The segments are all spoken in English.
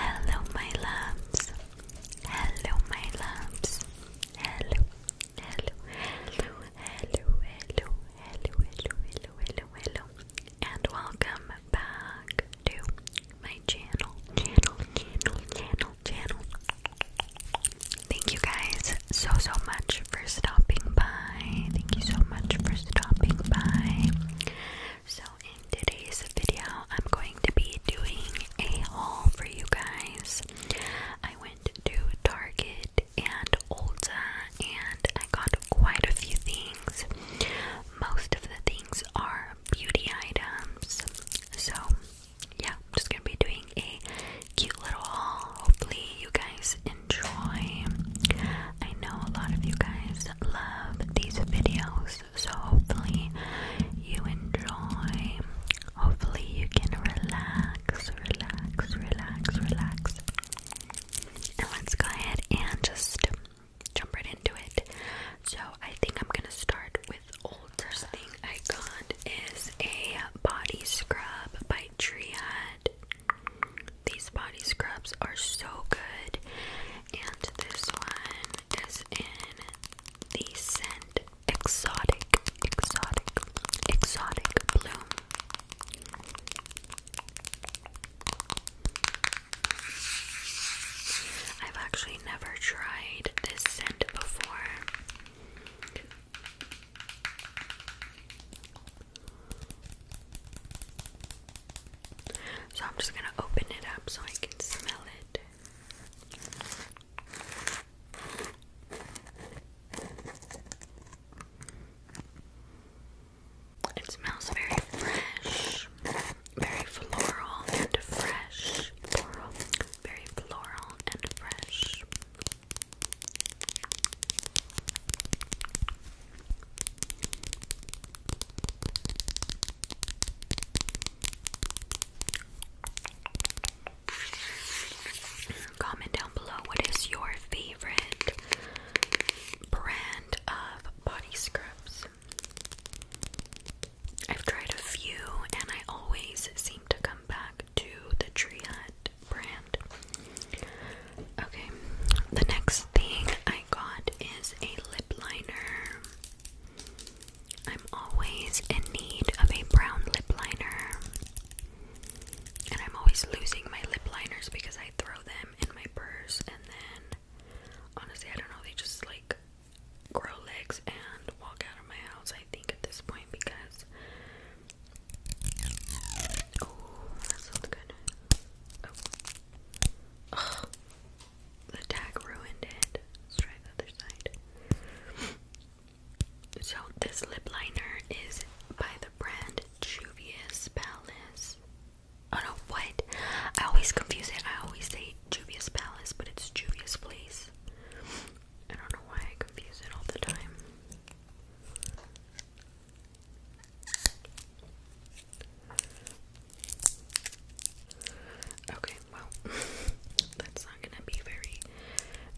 Hello, my loves. Hello, my loves. Hello, hello, hello, hello, hello, hello, hello, hello, hello, and welcome back to my channel, channel, channel, channel, channel. Thank you guys so so much for stopping by. Thank you so much for stopping by. So in today's video, I'm going to be doing a haul for you guys. I went to Target and Ulta and I got quite a few things. Most of the things are beauty items. So yeah, I'm just gonna be doing a cute little haul. Hopefully you guys enjoy. I know a lot of you guys love these videos, so, hopefully, you enjoy. Hopefully, you can relax, relax, relax, relax. And let's go ahead and just jump right into it. So, I think I'm gonna start with old. First thing I got is a body scrub by Triad. These body scrubs are so good. And this one is in the scent Exotic, Exotic, Exotic Bloom. I've actually never tried this scent before. So I'm just going to open it up so I can smell it. It smells very fresh, very floral and fresh. Floral, very floral and fresh. Comment down below what is your favorite brand of body scrubs. I've tried a few and I always seem to come back to the Tree Hut brand. Okay, the next thing I got is a lip liner. I'm always in need of a brown lip liner. And I'm always losing my lip liners because I throw them in my purse and then honestly, I don't know, they just like grow legs and walk out of my house, I think, at this point because. Oh, that sounds good. Oh. The tag ruined it. Let's try the other side. So this lip liner is by the brand Juvia's Palace. Oh no, what? I always confuse it. I always say Juvia's Palace, but it's Juvia's Place. I don't know why I confuse it all the time. Okay, well, that's not gonna be very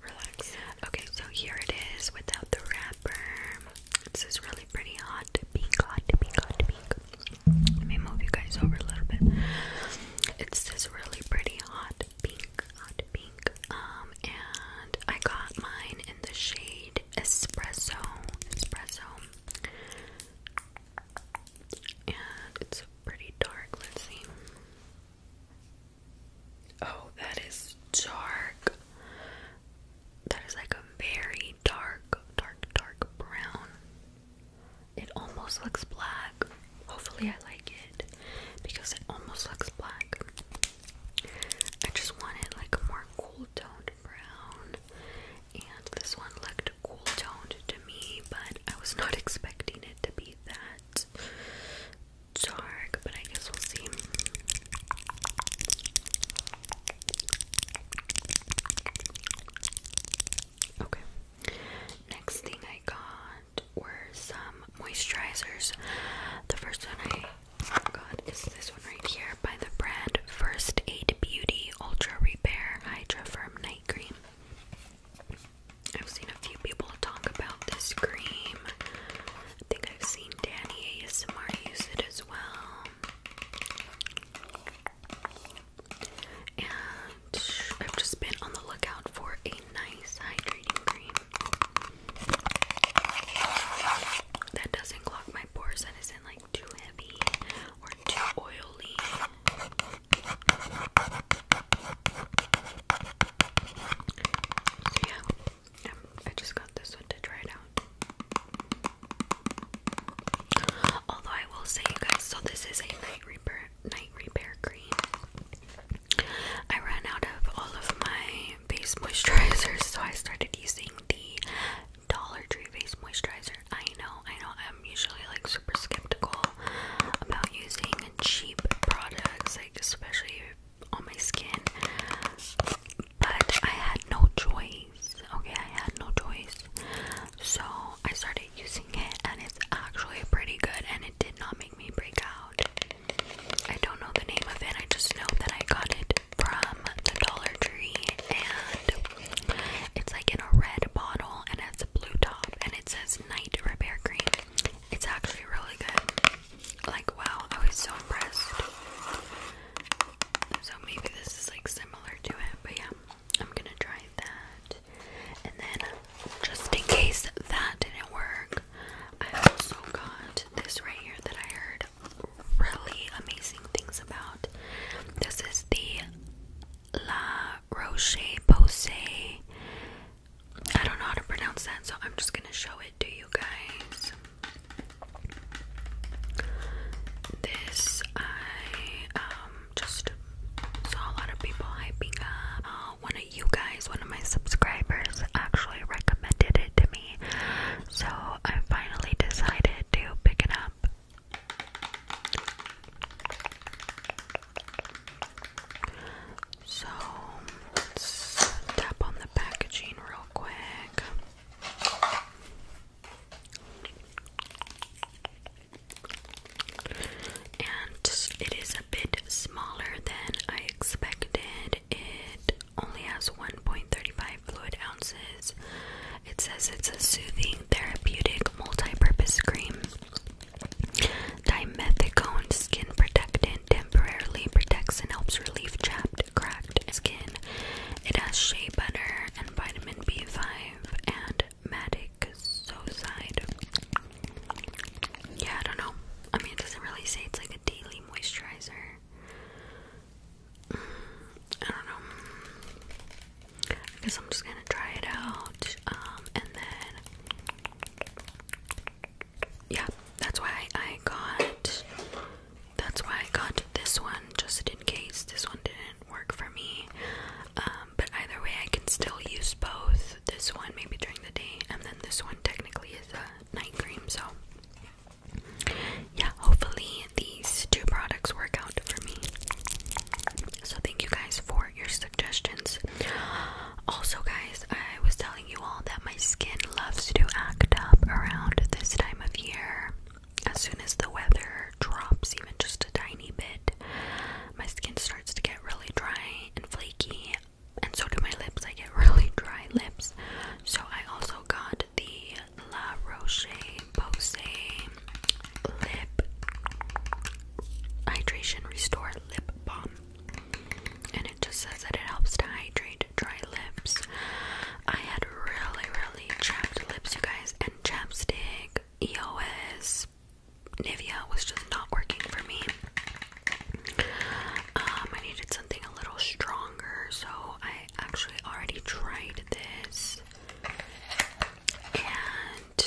relaxed. Okay, so here it is without the wrapper. This is really pretty hot pink, hot pink, hot pink. Let me move you guys over a little bit. It's this really pretty hot pink, hot pink. Um, and I got mine in the shade espresso, espresso. And it's pretty dark. Let's see. Oh, that is dark. That is like a very dark, dark, dark brown. It almost looks black. Hopefully, I like it because it almost looks black. I just want like a more cool toned brown, and this one looked cool toned to me, but I was not expecting it to be that dark, but I guess we'll see. Okay. Next thing I got were some moisturizers. The first one I got is this right here by the brand First Aid Beauty Ultra Repair Hydra Firm Night Cream. I've seen a few people talk about this cream. I think I've seen Danny ASMR use it as well. And I've just been on the lookout for a nice hydrating cream that doesn't clog my my porcelain isn't like too heavy or too oily. So yeah, I just got this one to try out. Although I will say, guys, so this is a night repair night repair cream. I ran out of all of my face moisturizers, so I started using the Dollar Tree face moisturizer. I know, I know, I'm usually like super skeptical about using cheap products, like especially on my skin, but I had no choice. Okay, I had no choice, so I started using it, and it's actually pretty good, and it did not make me break out. I don't know the name of it, I just know that I got it from the Dollar Tree, and it's like in a red bottle, and it's a blue top, and it says Night Repair Cream. It's actually really good. Like, wow, I was so impressed. So maybe this is like similar to it, but yeah, I'm gonna try that. And then, just in case that didn't work, I also got this right here that I heard really amazing things about. This is the La Roche Posay. I don't know how to pronounce that, so I'm just gonna show it to you guys. This I um just saw a lot of people hyping up. Uh, one of you guys, one of my subscribers, actually recommended it to me, so I finally decided to pick it up. So tap on the packaging real quick. And it is a bit smaller than I expected. It only has 1.35 fluid it says it's a soothing, therapeutic, multi-purpose cream. Dimethicone skin protectant temporarily protects and helps relieve chapped, cracked skin. It has shea butter and vitamin B5 and matic Yeah, I don't know. I mean, it doesn't really say it's like a daily moisturizer. I don't know. I guess I'm just gonna try it out. Um, and then yeah, that's why I got that's why I got this one just in case this one didn't work for me. Um, but either way, I can still use both. This one maybe during the day, and then this one technically is a night cream. So yeah, hopefully these two products work out for me. So, thank you guys for your suggestions. Also, guys, I was telling you all that my skin loves to act up around this time of year. As soon as the weather drops, even just a tiny bit, my skin starts to get really dry and flaky, and so do my lips. I get really dry lips. So, I also also got the La Roche Posay Lip Hydration Restore Lip Balm. And it just says that it helps to hydrate dry lips. I had really, really chapped lips, you guys, and chapstick, EOS, Nivea was just not working for me. Um, I needed something a little stronger, so I actually already tried this. And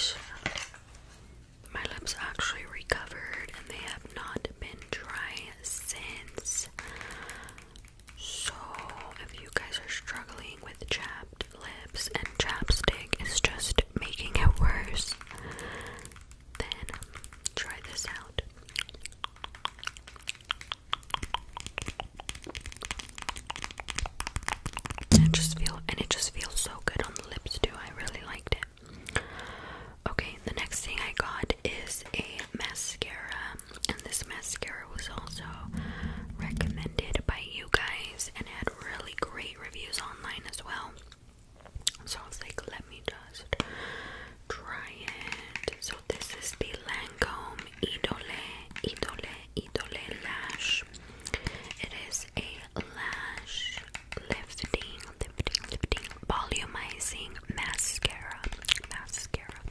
my lips actually recovered and they have not been dry since. So, if you guys are struggling with chapped lips and chapstick is just making it worse, then try this out. And just feel and it just feels so good on the lips too. I really liked it. Okay, the next thing I got is a mascara, and this mascara was also recommended by you guys and had really great reviews online as well. So I was like, let me just try it. So this is the Lancome Idole, Idole, Idole Lash. It is a lash lifting, lifting, lifting, volumizing mascara. Mascara.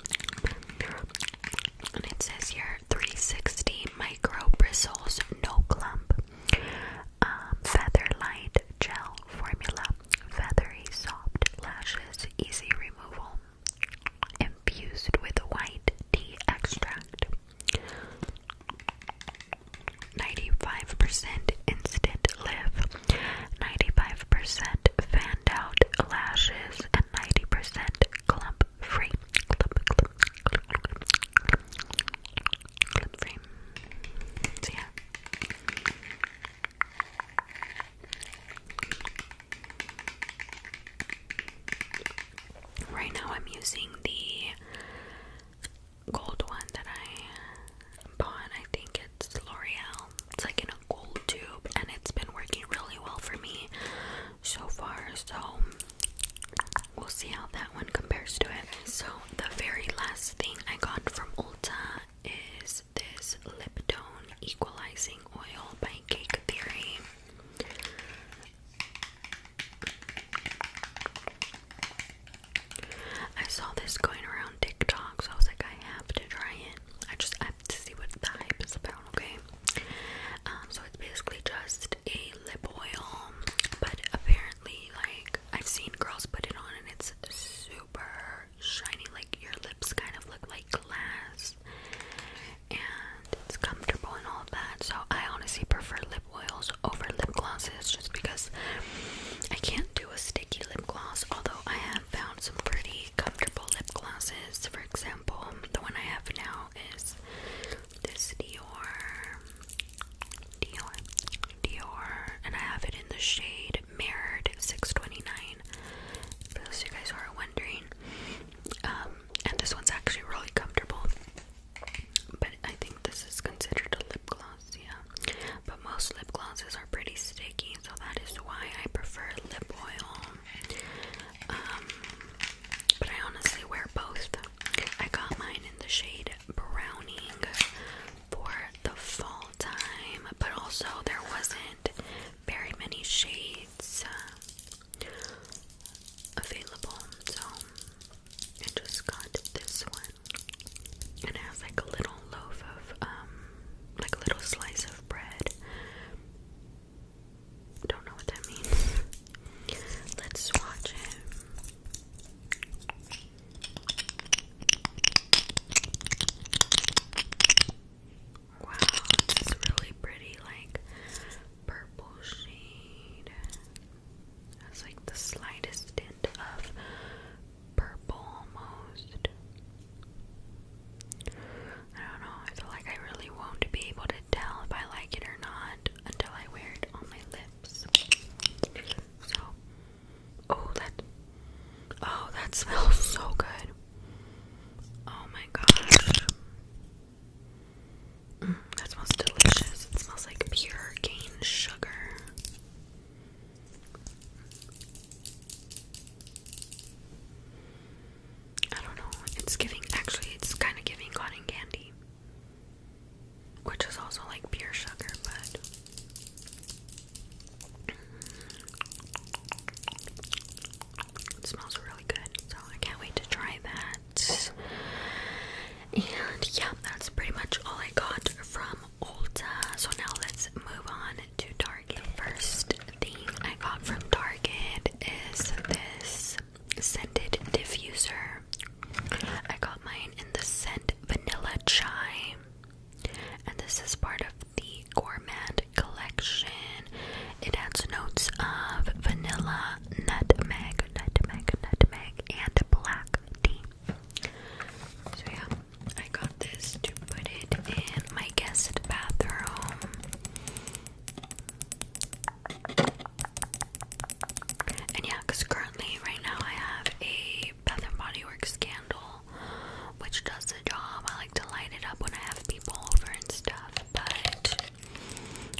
And it says here 360 micro bristles, no clump. Um, feather light gel formula. Feathery soft lashes, easy removal infused with white tea extract. 95% instant lift, 95% fanned out lashes, and 90% clump free. Clump, free. So, yeah. Right now, I'm using the gold one that I bought. I think it's L'Oreal. It's like in a gold tube, and it's been working really well for me so far. So, we'll see how that one compares to it. So, the very last thing I got from Ulta is this lip tone equalizing oil by cake theory. I saw this going around TikTok, so I was like, I have to try it. I just have to see what the hype is about, okay? Um, so it's basically just a lip oil, but apparently, like, I've seen girls put it on and it's super shiny, like your lips kind of look like glass, and it's comfortable and all that. So, I honestly prefer lip oils over lip glosses just because I can't do a sticky lip gloss, although I have found some pretty comfortable lip glosses. For example, the one I have now is this Dior. Dior, Dior, and I have it in the shade Mirrored 629. For those you guys who are um, and this one's actually really comfortable. But I think this is considered a lip gloss, yeah. But most lip glosses are pretty sticky, so that is why I prefer lip oil. Um, but I honestly wear both. I got mine in the shade Browning for the fall time, but also there was very many shades uh, available. So I just got this one, it has like a little loaf of, um, like a little slice of bread. Don't know what that means. Let's swatch it. Wow, this is really pretty, like purple shade. That's like the slightest tint of purple almost. I don't know, I feel like I really won't be able to tell if I like it or not until I wear it on my lips. So, oh, that, oh, that smells so good. Oh my gosh. Mm, that smells delicious. It smells like pure cane sugar. I don't know. It's giving, actually, it's kind of giving cotton candy, which is also like pure sugar, but. It smells really good, so I can't wait to try that. And yeah, that's pretty much all I got from Ulta. So now let's move on to Target. first thing I got from Target is this scented diffuser. I got mine in the scent Vanilla Chai, and this is part of the Gourmand Collection. It has notes of vanilla, nutmeg, nutmeg, nutmeg, and black tea. So, yeah, I got this to put it in my guest bathroom. And yeah, because currently, right now, I have a Bath and Body Works candle which does the job. I like to light it up when I have people over and stuff, but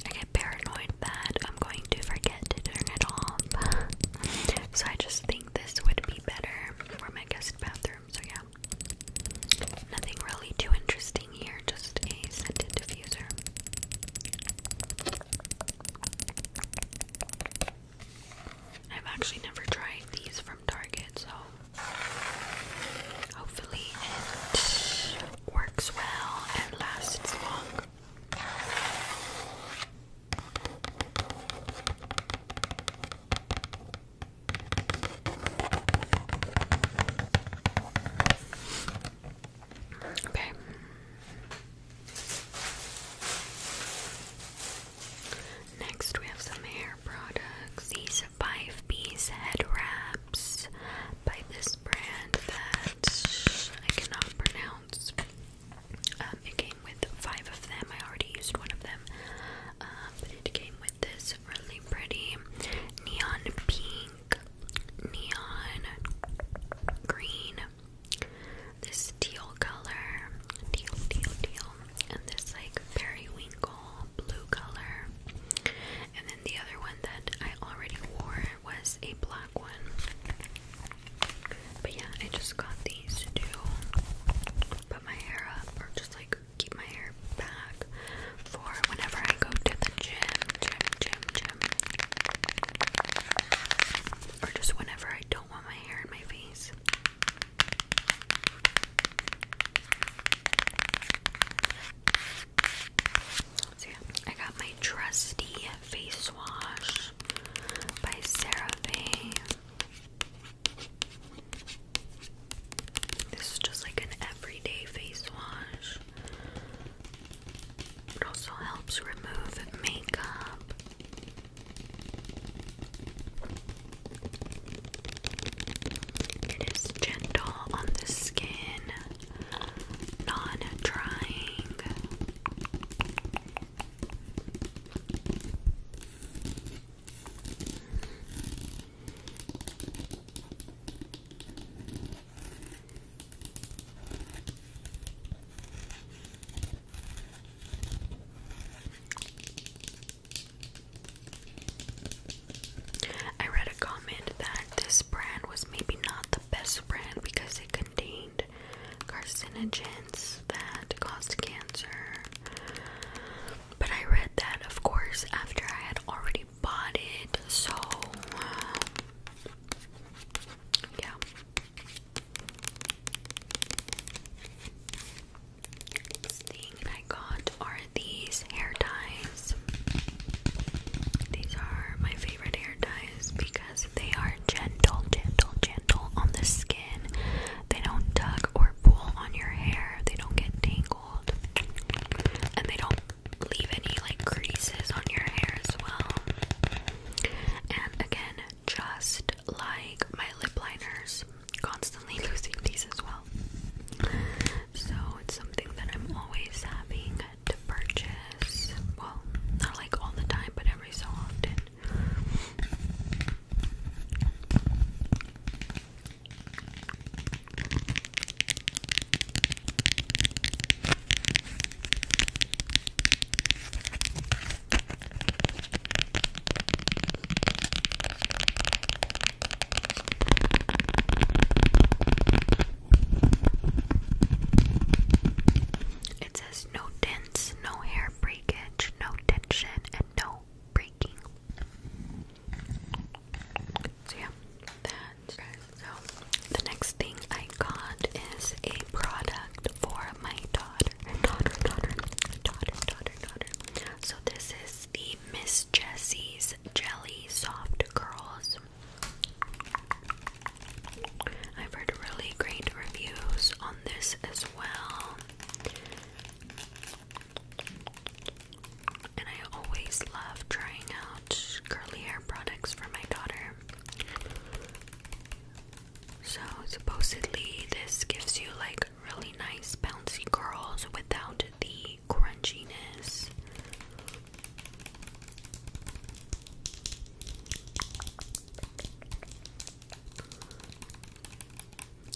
I get paranoid that I'm going to forget to turn it off. so I just think this would be better for my guest bathroom. So yeah. Nothing really too interesting here, just a scented diffuser. I've actually never tried these from Target, so Hopefully, it works well and lasts long. Okay. Next, we have some hair products. These are five piece head wraps by this brand that I cannot pronounce. Um, it came with five of them. I already used one of them, um, it came with this really pretty neon pink, neon green, this teal color, teal, teal, teal, and this like periwinkle blue color. And then the other one that I already wore was a black one. But yeah, I just got these to put my hair up or just like keep my hair back for whenever I go to the gym, gym, gym, gym. Or just whenever I don't want my hair in my face. I got my trusty face wash by CeraVe. This is just like an everyday face wash. It also helps remove makeup. It is gentle on the skin, non drying. I read a comment that this brand was maybe not the best brand because it contained carcinogens that caused cancer. But I read that, of course, after I had already bought it, so uh, yeah thing I got are these hair ties. These are my favorite hair ties because they are gentle, gentle, gentle on the skin. They don't tug or pull on your hair, they don't get tangled, and they don't leave any like creases on your hair as well. And again, just like my lip liners, constantly losing these as well. So it's something that I'm always having to purchase. Well, not like all the time, but every so often. It says no dents, no hair breakage, no tension, and no breaking. So yeah, that. So the next thing I got is a product for my daughter, daughter, daughter, daughter, daughter, daughter. So this is the Miss Jessie's Jelly Soft Curls. I've heard really great reviews on this as well. And I always love trying out curly hair products for my daughter. So, supposedly, this gives you like really nice bouncy curls without the crunchiness.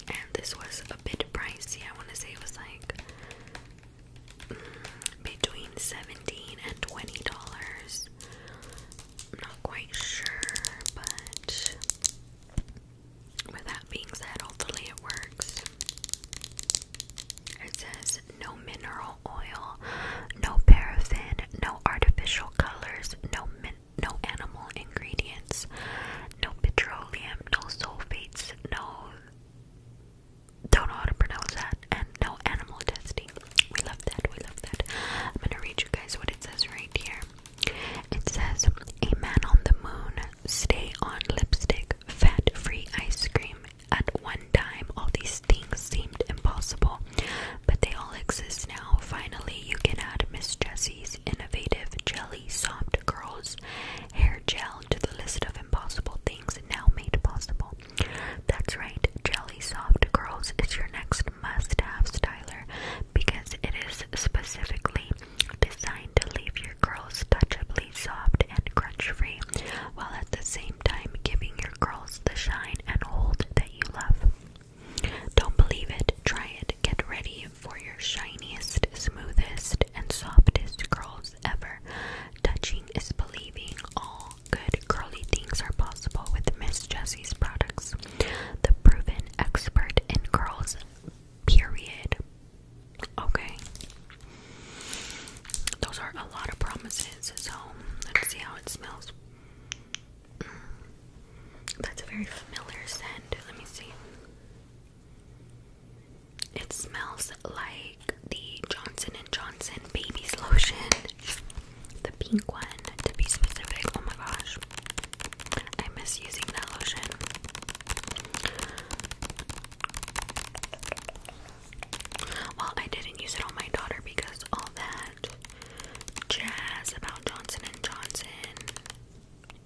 And this was a bit pricey. I want to say it was like mm, between 17 and 20 dollars. not quite sure, but with that being said, hopefully it works. It says no mineral oil, no paraffin, no artificial colors, no min no animal ingredients, no petroleum, no sulfates, no don't know how to pronounce that, and no animal testing. We love that, we love that. I'm gonna read you guys what it says right here. It says, A man on the moon, stay on lipstick, fat free ice cream. At one time, all these things seemed impossible, but they all exist now. Finally, you can add Miss Jessie's innovative jelly soft Girls hair gel to the list of impossible things now made possible. That's right, jelly soft Girls is your next must have styler because it is specifically Designed to leave your curls touchably soft and crunch free, while at the same time giving your curls the shine and hold that you love. Don't believe it? Try it. Get ready for your shiniest, smoothest, and softest curls ever. Touching is believing. All good curly things are possible with Miss Jessie's products. The proven expert in curls Period. Okay. Those are a lot of promises, so let's see how it smells. Mm. That's a very familiar scent. Let me see. It smells like the Johnson and Johnson baby's lotion. The pink one to be specific. Oh my gosh. I miss using that lotion. Well, I didn't use it on my daughter because all that jazz about Johnson and Johnson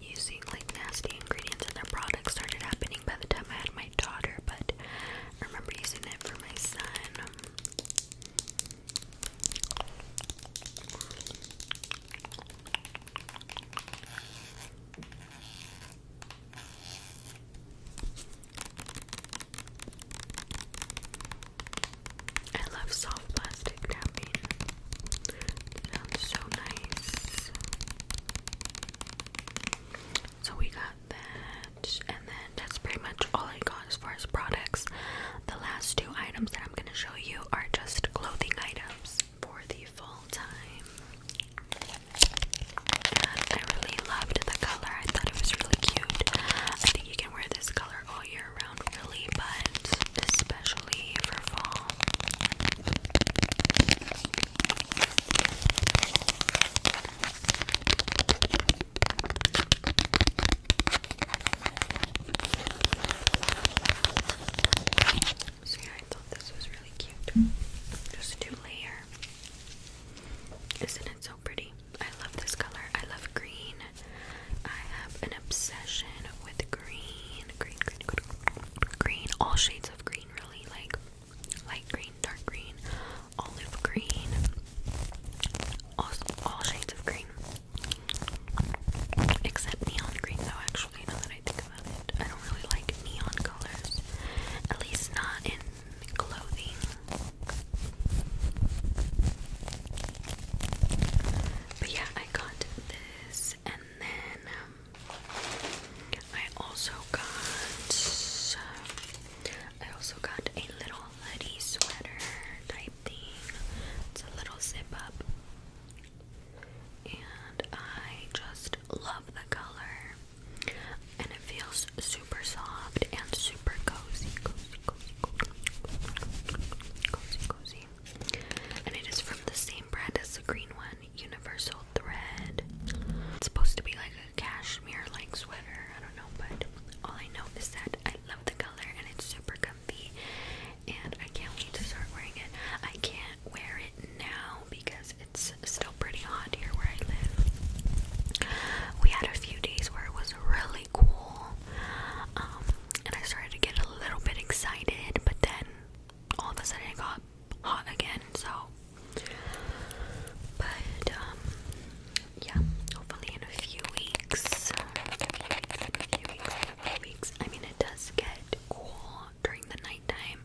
using like nasty ingredients in their products started happening by the time I had my daughter, but I remember using it for my son. I love soft plastic tapping. sounds so nice. So we got that, and then that's pretty much all I got as far as products. The last two items that I'm going to show you are just clothing items for the fall time. I really loved the color. I thought it was really cute. I think you can wear this color all year round, really, but especially for fall. I thought this was really cute. Just two layer. Isn't it so pretty? I love this color. I love green. I have an obsession with green. Green, green, green. Green. All shades of green really. Like light green, dark green, olive green. All, all shades of green. Except neon green, though, actually, now that I think about it. I don't really like neon colors. At least not in clothing. But yeah, I got this, and then um, I also got. I also got a little hoodie sweater type thing. It's a little zip up and I just love the color. And it feels super soft and super cozy, cozy, cozy, cozy, cozy, cozy. And it is from the same brand as the green one, Universal Thread. It's supposed to be like a cashmere like sweater. I don't know, but all I know is that I love the color and it's super comfy and I can't wait to start wearing it. I can't wear it now because it's still pretty hot here where I live. We had a few days where it was really cool, um, and I started to get a little bit excited, but then all of a sudden it got hot again, so. But, um, yeah, hopefully in a few weeks, a few weeks, a few weeks. I mean, it does get cool during the nighttime,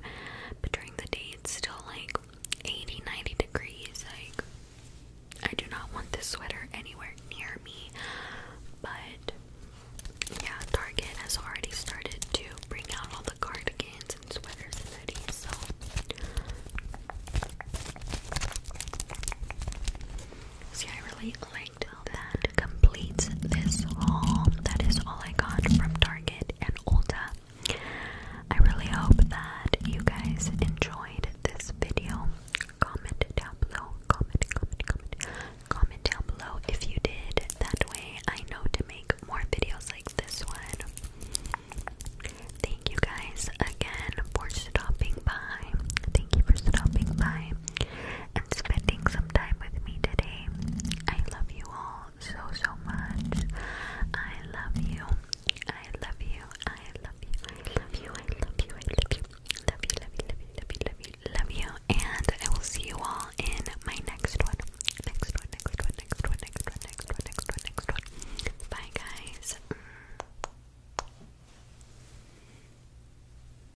but during the day it's still like 80 degrees. Like, I do not want this sweater anywhere near me. But yeah, Target has already started to bring out all the cardigans and sweaters and hoodies, so. See, I really like that completes this haul. That is all I got from Target and Ulta. I really hope that you guys enjoyed this video. Comment down below. Comment, comment, comment. Comment down below if you did. That way I know to make more videos like this one. Thank you guys again for stopping by. Thank you for stopping by and spending some time with me today. I love you all so, so much. I love you. I love you. I love you. I love you. I love you. I love you. Love you. Love you. Love you. Love you. Love you. Love you. And I will see you all in my next one. Next one. Next one. Next one. Next one. Next one. Next one. Next one. Bye, guys. Mm.